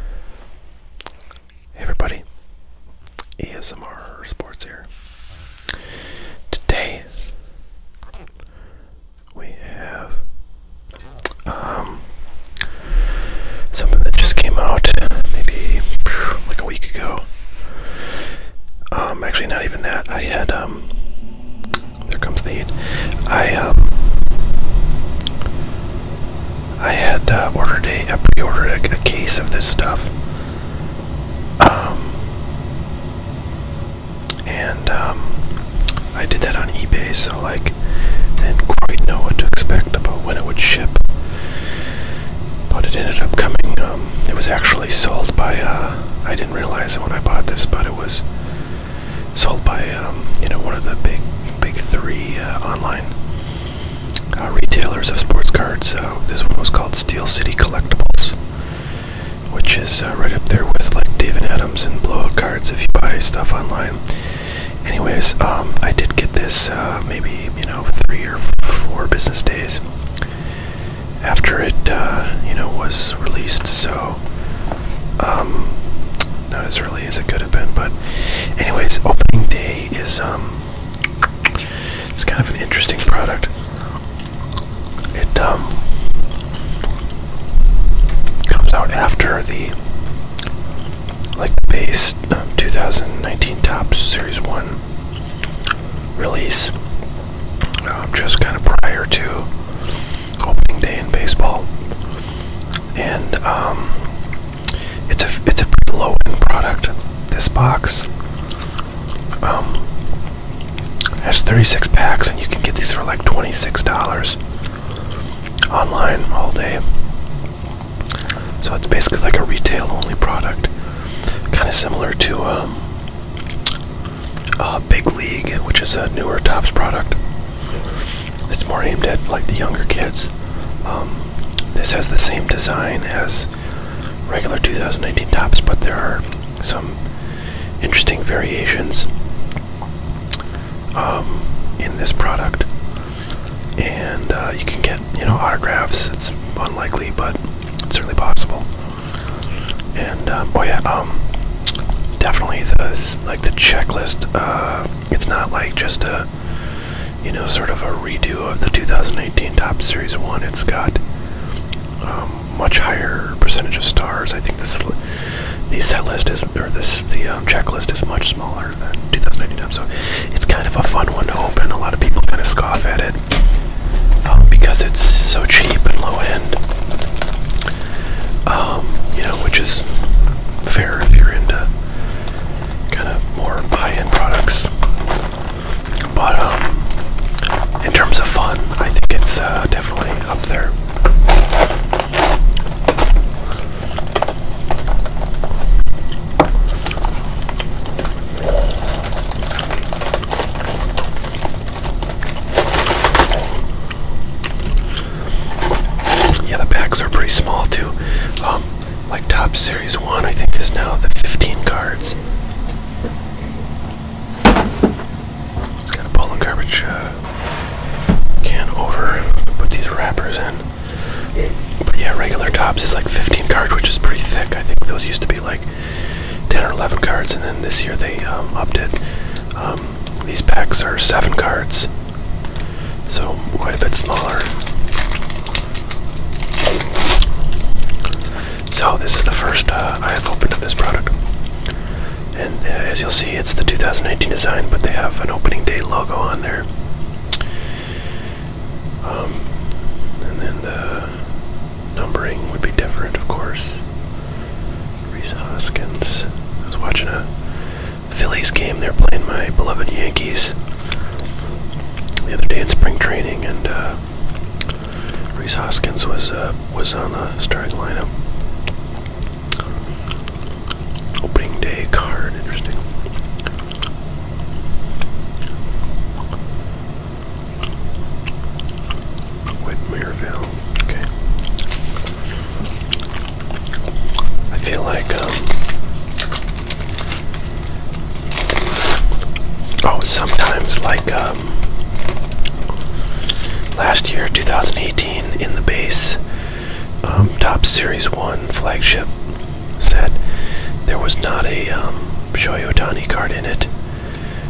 Hey everybody, ASMR Sports here. Today we have um, something that just came out maybe like a week ago. Um, actually, not even that. I had um, there comes the heat. I um, I had uh, ordered a, a pre-ordered a, case of this stuff, um, and um, I did that on eBay, so like, didn't quite know what to expect about when it would ship, but it ended up coming. Um, it was actually sold by. Uh, I didn't realize it when I bought this, but it was sold by um, you know one of the big big three uh, online uh, retailers of sports cards. So this one was called Steel City Collectibles, which is uh, right up there with like David Adams and blowout cards if you buy stuff online. Anyways, um, I did get this uh, maybe you know three or four business days after it you know was released. So um, not as as it could have been, but anyways, opening day is um it's kind of an interesting product. It um comes out after the like base um, 2019 Tops Series 1 release, I'm um, just kind of prior to opening day in baseball, and um, it's a it's a pretty low end product. This box um, has 36 packs, and you can get these for like $26 online all day. So it's basically like a retail only product, kind of similar to um, uh, Big League, which is a newer Tops product. It's more aimed at like the younger kids. Um, this has the same design as regular 2018 tops, but there are some interesting variations um, in this product. And uh, you can get, you know, autographs. It's unlikely, but certainly possible. And um, oh yeah, um, definitely the like the checklist. Uh, it's not like just a you know, sort of a redo of the 2018 Top Series 1. It's got um, much higher percentage of stars. I think this the set list is, or this the um, checklist is much smaller than 2018 Top. So it's kind of a fun one to open. A lot of people kind of scoff at it um, because it's so cheap and low end. you know, which is fair if you're into kind of more buy-in products. But um, in terms of fun, I think it's uh, definitely up there. Yeah, the packs are pretty small too. Um, like top series one, I think is now the 15 cards. Just gotta pull the garbage uh, can over, put these wrappers in. But yeah, regular tops is like 15 cards, which is pretty thick. I think those used to be like 10 or 11 cards, and then this year they um, upped it. Um, these packs are seven cards so quite a bit smaller. So this is the first uh, I have opened of this product, and uh, as you'll see, it's the 2019 design, but they have an opening day logo on there. Um, and then the numbering would be different, of course. Reese Hoskins. was watching a Phillies game. They're playing my beloved Yankees the other day in spring training, and uh, Reese Hoskins was uh, was on the starting lineup. Opening day card, interesting. Whit okay. I feel like, um, oh, sometimes like, um, last year, 2018, in the base, um, top series one flagship set, there was not a, um, Shohei Otani card in it,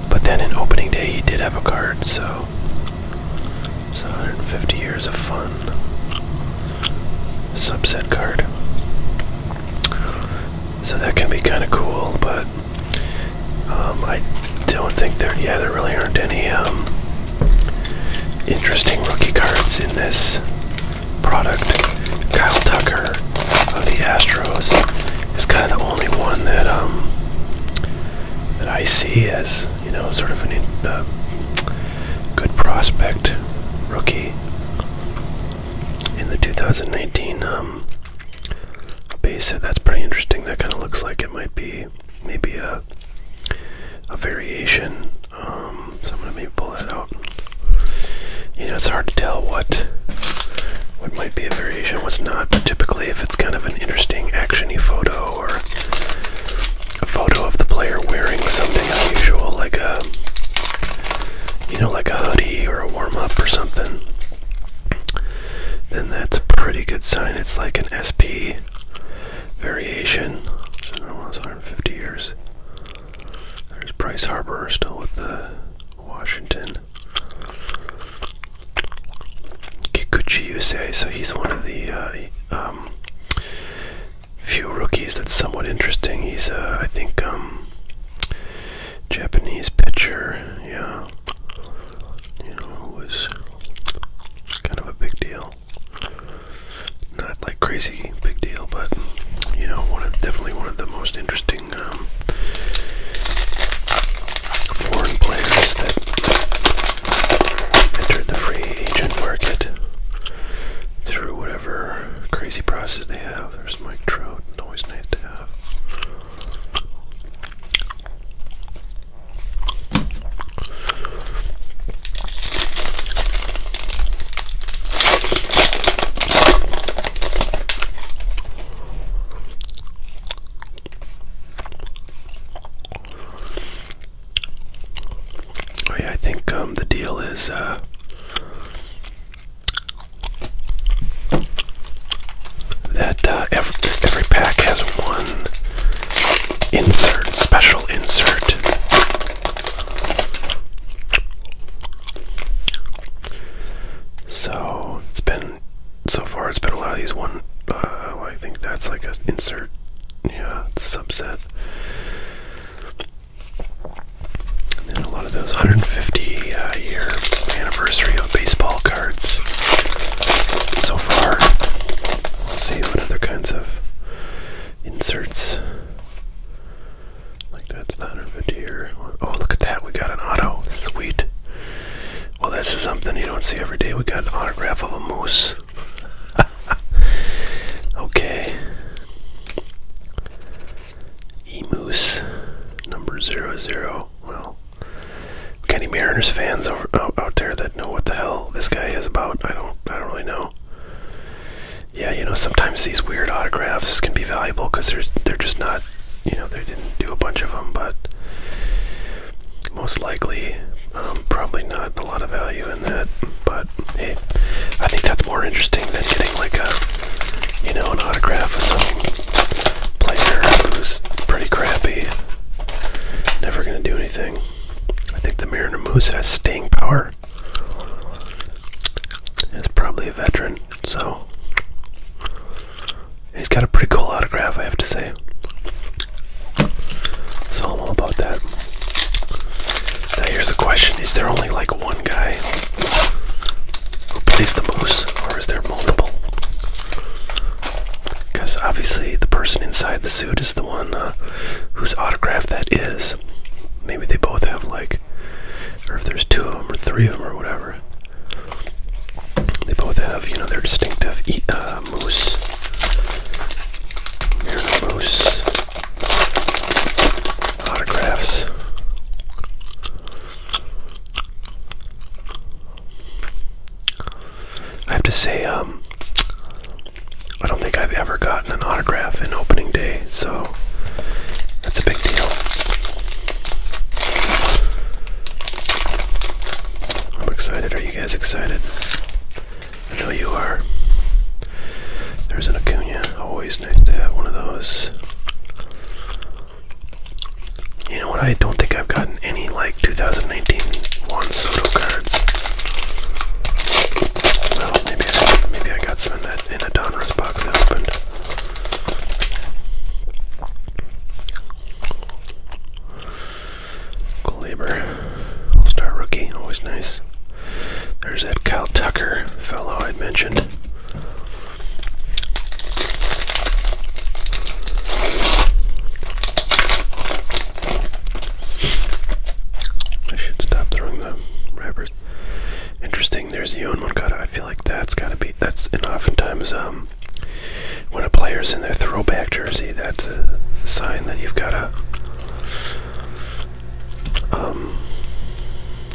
but then in opening day, he did have a card, so so 150 years of fun. Subset card. So that can be kind of cool, but um, I don't think there. Yeah, there really aren't any um, interesting rookie cards in this product. Kyle Tucker of the Astros is kind of the only one that um, that I see as you know sort of an uh, good prospect rookie in the 2019 um, base hit. That's pretty interesting. That kind of looks like it might be maybe a a variation. Um, so I'm gonna maybe pull that out. You know, it's hard to tell what what might be a variation, what's not. But typically, if it's kind of an interesting actiony photo or a photo of the player wearing something unusual, like a, you know, like a hoodie or a warm up or something, then that's a pretty good sign. It's like an SP variation. So almost 150 years. There's Bryce Harper still with the Washington. Kikuchi Yusei, so he's one of the uh, um, few rookies that's somewhat interesting. He's, a, uh, I think, um, Japanese pitcher. Yeah, you know, was kind of a big deal. Not like crazy big deal, but you know, one of definitely one of the most interesting um, foreign players that entered the free agent market through whatever crazy process they have. There's Mike Trout, always nice to have. Oh, I think um, the deal is uh, that uh, every, every pack has one insert, special insert. So it's been so far. It's been a lot of these one. Uh, I think that's like an insert, yeah, subset. And then a lot of those 150 uh, year anniversary of baseball cards so far. We'll see what other kinds of inserts. Like that's the 150 year. Oh, look at that. We got an auto. Sweet. Well, this is something you don't see every day. We got an autograph of a moose. okay. Emus, number zero zero. Well, any Mariners fans out, out there that know what the hell this guy is about? I don't. I don't really know. Yeah, you know, sometimes these weird autographs can be valuable because they're they're just not. You know, they didn't do a bunch of them, but most likely um, probably not a lot of value in that but hey i think that's more interesting than getting like a you know an autograph of some player who's pretty crappy never gonna do anything i think the mariner moose has staying power He's probably a veteran so he's got a pretty cool autograph i have to say day. So I'm all about that. Now here's the question, is there only like one guy who plays the moose or is there multiple? Because obviously the person inside the suit is the one uh, whose autograph that is. Maybe they both have like, or if there's two of them or three of them or whatever. They both have, you know, their distinctive e uh, uh, mousse, Myrtle mousse, autographs. I have to say, um, I don't think I've ever gotten an autograph in opening day, so that's a big deal. I'm excited. Are you guys excited? I know you are. There's an Acuna. Always nice to have one of those. You know what? I don't think I've gotten any like 2019 Juan Soto cards. Well, maybe I, maybe I got some in that in a box I opened. Glaber, All Star rookie, always nice. There's that Kyle Tucker fellow I mentioned. I should stop throwing the wrappers. Interesting. There's Yon Moncada. I feel like that's gotta be that's and oftentimes um when a player's in their throwback jersey that's a sign that you've got a um,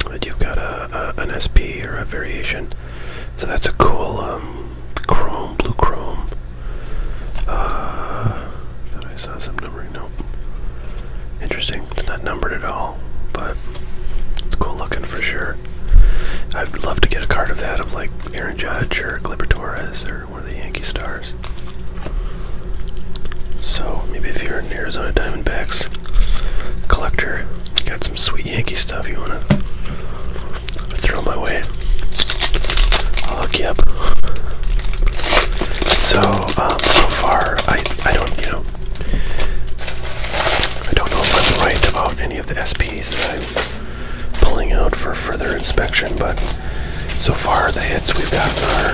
that you've got a, an SP or a variation. So that's a cool um, chrome, blue chrome. Uh, thought I saw some numbering. Nope. Interesting. It's not numbered at all, but it's cool looking for sure. I'd love to get a card of that of like Aaron Judge or Glibber Torres or Center the Yankee Stars. So maybe if you're an Arizona Diamondbacks collector, you got some sweet Yankee stuff you wanna throw my way. I'll hook you up. So um, so far, I I don't you know I don't know if I'm right about any of the SPs that I'm pulling out for further inspection, but so far, the hits we've gotten are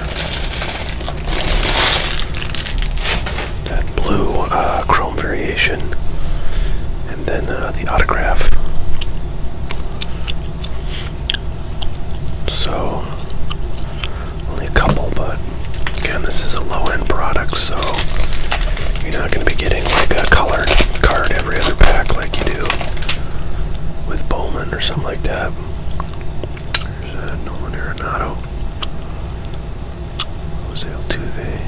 that blue uh, chrome variation, and then uh, the autograph. So, only a couple, but again, this is a low end product, so you're not going to be getting like a colored card every other pack like you do with Bowman or something like that. There's uh, Nolan Arenado, Jose Altuve.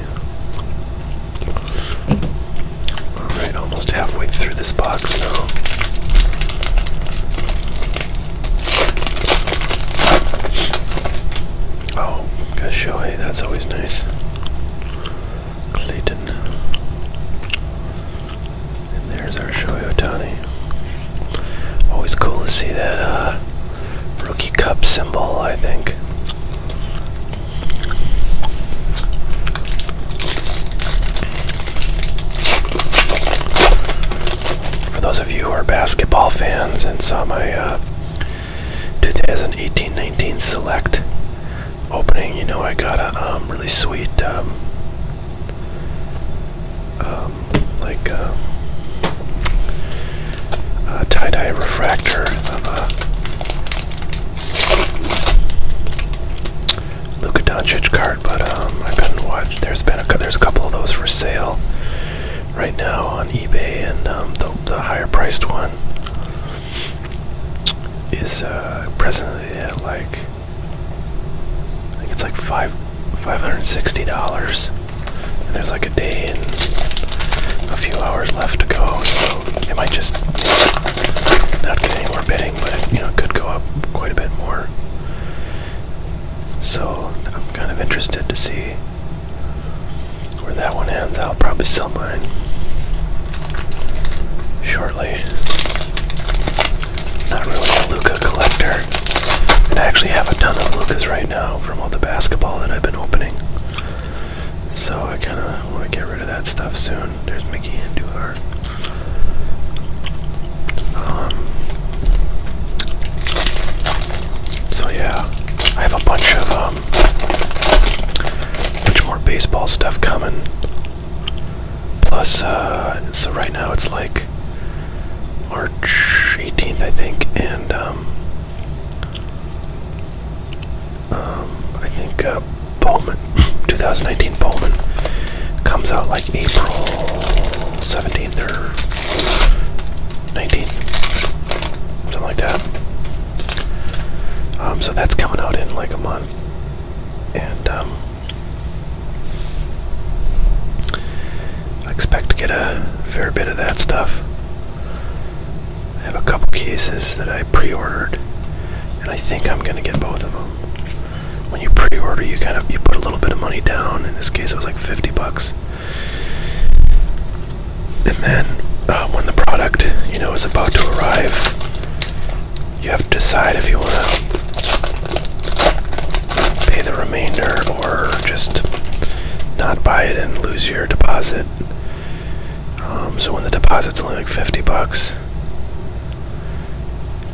All right, almost halfway through this box now. Oh, got Shohei. That's always nice. Clayton. And there's our Shohei Otani. Always cool to see that uh, rookie cup symbol, I think. For those of you who are basketball fans and saw my 2018-19 uh, select opening, you know, I got a um, really sweet, um, um, like uh, tie dye refractor of a uh, Luka Doncic card, but I've been watching. There's been a there's a couple of those for sale right now on eBay, and the higher priced one is uh, presently at like I think it's like five five hundred sixty dollars. And there's like a day and a few hours left to go, so it might just not get any more bidding, but you know it could go up quite a bit more. So I'm kind of interested to see where that one ends. I'll probably sell my shortly. Not really a Luca collector. I actually have a ton of Lucas right now from all the basketball that I've been opening. So I kind of want to get rid of that stuff soon. There's Mickey and Duhar. Um, so yeah, I have a bunch of um, bunch more baseball stuff coming. Plus, uh, so right now it's like March 18th, I think, and um, um, I think uh, Bowman, 2019 Bowman, comes out like April 17th or 19th, something like that. Um, so that's coming out in like a month and um, I expect to get a fair bit of that stuff. I have a couple cases that I pre-ordered, and I think I'm gonna get both of them. When you pre-order, you kind of you put a little bit of money down. In this case, it was like 50 bucks, and then uh, when the product, you know, is about to arrive, you have to decide if you want to pay the remainder or just not buy it and lose your deposit. Um, so when the deposit's only like 50 bucks,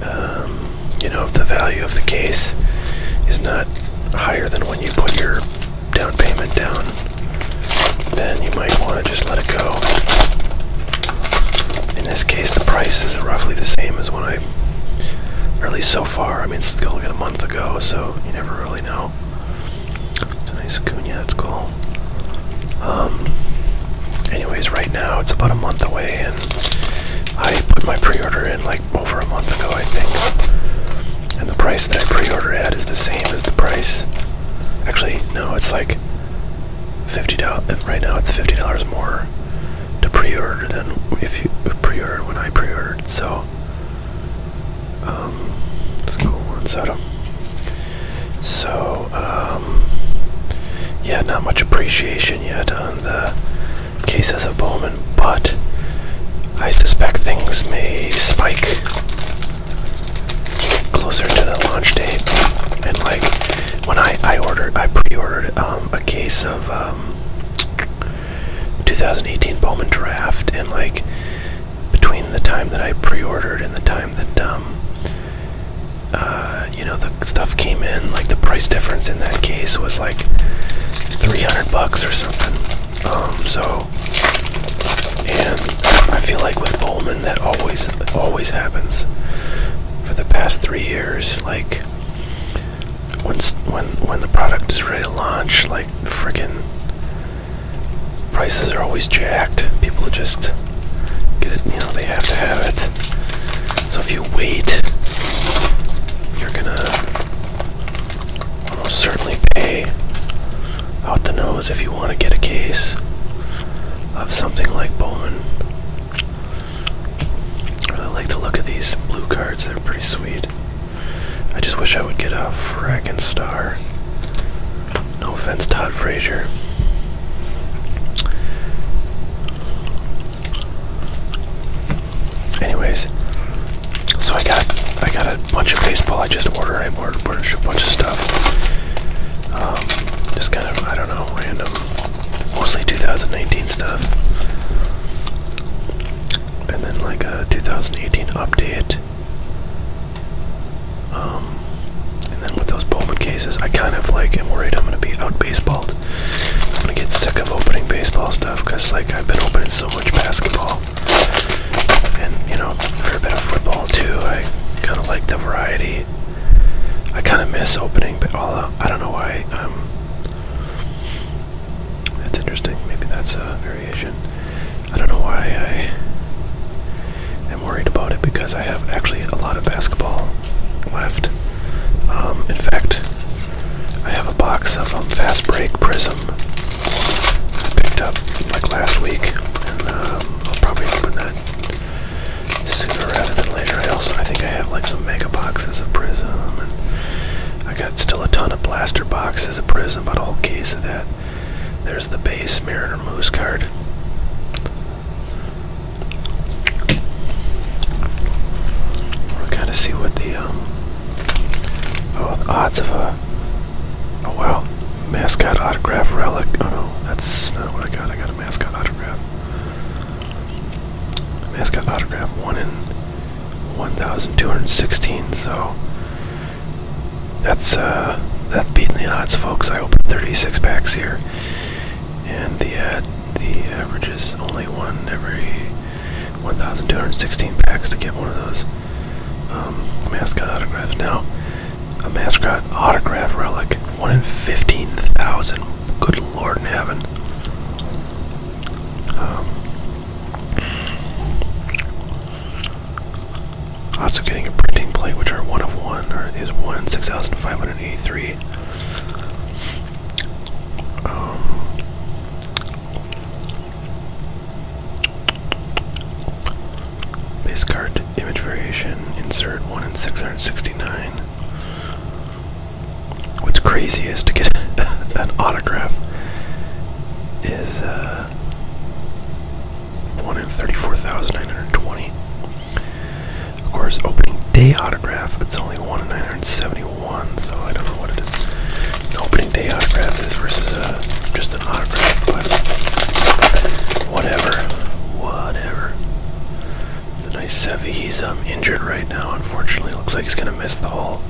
um, you know, if the value of the case is not higher than when you put your down payment down, then you might want to just let it go. In this case, the price is roughly the same as when I, or at least so far. I mean, it's still got a month ago, so you never really know. It's a nice Acuna, that's cool. Um, anyways, right now it's about a month away, and I put my pre-order in like over a month ago, I think. And the price that I pre-order at is the same as the price. Actually, no, it's like fifty dollars. Right now, it's fifty dollars more to pre-order than if you pre order when I pre-ordered. So, um, it's a cool one. So, so um, yeah, not much appreciation yet on the cases of Bowman, but I suspect things may spike closer to the launch date. And like when I I ordered, I pre-ordered um, a case of um, 2018 Bowman Draft, and like between the time that I pre-ordered and the time that um, uh, you know the stuff came in, like the price difference in that case was like 300 bucks or something. Um, so, and I feel like with Bowman, that always always always happens for the past three years. Like when when when the product is ready to launch, like fricking prices are always jacked. People just get it, you know, they have to have it. So if you wait, you're gonna almost certainly pay out the nose if you want to get a case of something like Bowman. I really like the look of these blue cards, they're pretty sweet. I just wish I would get a frackin' star. No offense, Todd Frazier. Anyways, so I got I got a bunch of baseball I just ordered. I ordered, ordered a bunch of stuff. Um, just kind of, I don't know, random, mostly 2019 stuff. And then like a 2018 update. Um, and then with those Bowman cases, I kind of like am worried I'm going to be out baseball. I'm going to get sick of opening baseball stuff because like I've been opening so much basketball. And you know, for a bit of football too, I kind of like the variety. I kind of miss opening, but I don't know why. Um, that's interesting. Maybe that's a variation. I don't know why I am worried about it because I have actually a lot of basketball left. Um, in fact, I have a box of um, Fast Break Prism I picked up like last week, and I'll probably open that sooner rather than later. I also I think I have like some mega boxes of Prism, and I got still a ton of blaster boxes of Prism, but a whole case of that. There's the base Mariner Moose card. We'll kind of see what the um, oh the odds of a oh wow Mascot autograph relic. Oh no, that's not what I got. I got a mascot autograph. Mascot autograph one in 1,216. So that's uh, that's beating the odds, folks. I opened 36 packs here, and the the average is only one every 1,216 packs to get one of those um, mascot autographs. Now a mascot autograph relic. One in 15,000. Good lord in heaven. also um, getting a printing plate, which are one of one, or is one 6,583. Um, Base card image variation, insert 1 in 669. What's crazy is to get an autograph is uh, 1 in 34,920. Of course, opening day autograph, it's only 1 in 971, so I don't know what it is. opening day autograph is versus a, uh, just just whatever. Whatever. The nice Sevy. He's um, injured right now, unfortunately. Looks like he's going to miss the whole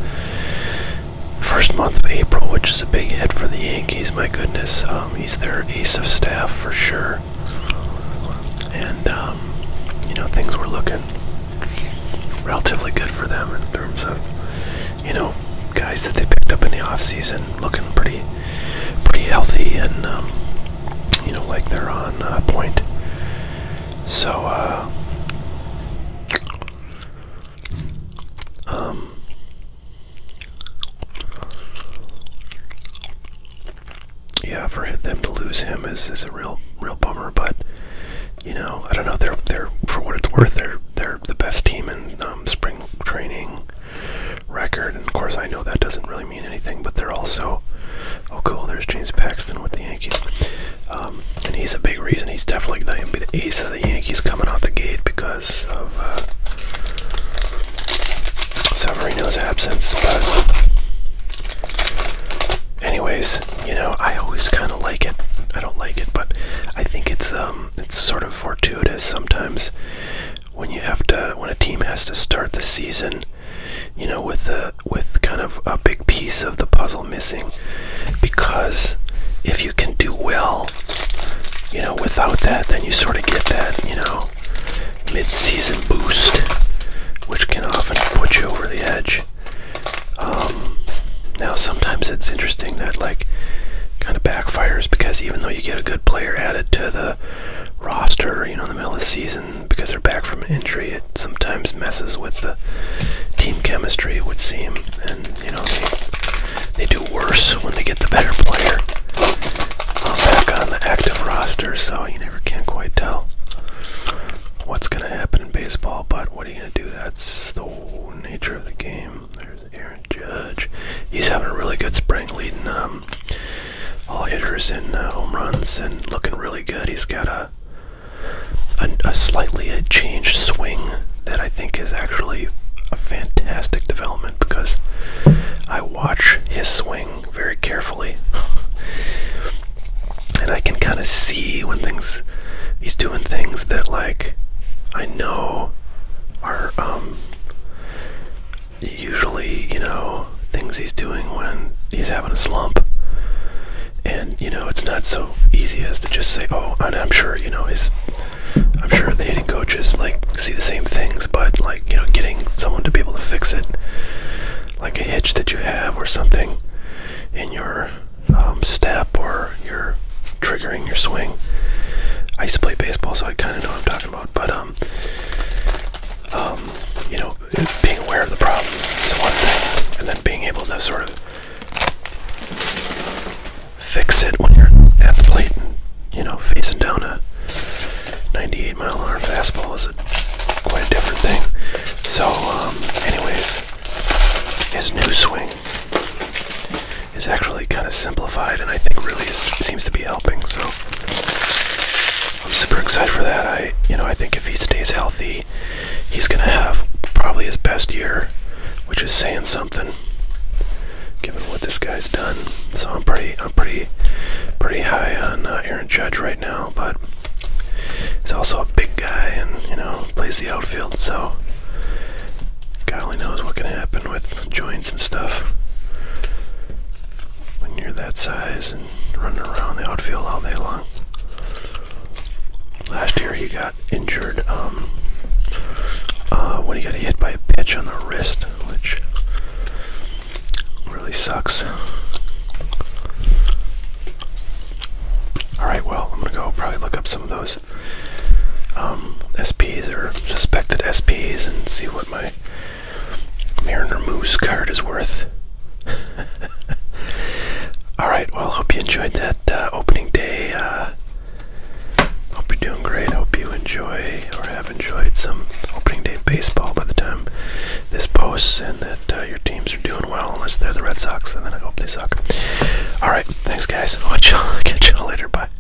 first month of April, which is a big hit for the Yankees. My goodness. Um, he's their ace of staff for sure. And, um, you know, things were looking relatively good for them in terms of, you know, guys that they picked up in the off-season, looking pretty pretty healthy and um, you know like they're on uh, point. So uh, um, yeah, for them to lose him is, is a real real bummer. But you know, I don't know. They're they're for what it's worth. They're they're the best team in um, spring training record. And of course, I know that doesn't really mean anything, but they're also. Oh, cool. There's James Paxton with the Yankees. Um, and he's a big reason. He's definitely going to be the ace of the Yankees coming out the gate because of uh, Severino's absence. But, anyways, you know, I always kind of like it. I don't like it, but I think it's um, it's sort of fortuitous sometimes when you have to when a team has to start the season, you know, with a with kind of a big piece of the puzzle missing, because if you can do well, you know, without that, then you sort of get that, you know, mid-season boost, which can often put you over the edge. Um, now, sometimes it's interesting that like kind of backfires because even though you get a good player added to the roster, you know, in the middle of the season because they're back from an injury. It sometimes messes with the team chemistry, it would seem, and you know they they do worse when they get the better player uh, back on the active roster. So you never can quite tell what's going to happen in baseball. But what are you going to do? That's the nature of the game. There's Aaron Judge. He's having a really good spring, leading um, all hitters in uh, home runs and looking really good. He's got a, a slightly uh, changed swing that I think is actually a fantastic development because I watch his swing very carefully. and I can kind of see when things he's doing things that like I know are um, usually, you know, things he's doing when he's having a slump. And, you know, it's not so easy as to just say, oh, I'm sure, you know, he's, I'm sure the hitting coaches, like, see the same things, but, like, you know, getting someone to be able to fix it, like a hitch that you have or something in your um, step or you're triggering your swing. I used to play baseball, so I kind of know what I'm talking but um, um, you know, being aware of the problem is one thing, and then being able to sort of fix it when you're at the plate you know facing down a 98 mile an hour fastball is a quite a different thing. So, um, anyways, his new swing is actually kind of simplified and I think really seems to be helping. So I'm super excited for that. I, you know, I think if he stays healthy, he's going to have probably his best year, which is saying something given what this guy's done. So I'm pretty, I'm pretty, pretty high on uh, Aaron Judge right now. But he's also a big guy, and you know, plays the outfield. So God only knows what can happen with joints and stuff when you're that size and running around the outfield all day long. Last year he got injured um, uh, when he got hit by a pitch on the wrist, which really sucks. Alright, well, I'm gonna go probably look up some of those um, SPs or suspected SPs and see what my Mariner Moose card is worth. Alright, well, hope you enjoyed that uh, opening day. Uh, hope you're doing great. Hope you enjoy or have enjoyed some opening day baseball by the time this posts and that uh, your teams are doing well, unless they're the Red Sox, and then I hope they suck. Alright, thanks, guys. catch y'all later. Bye.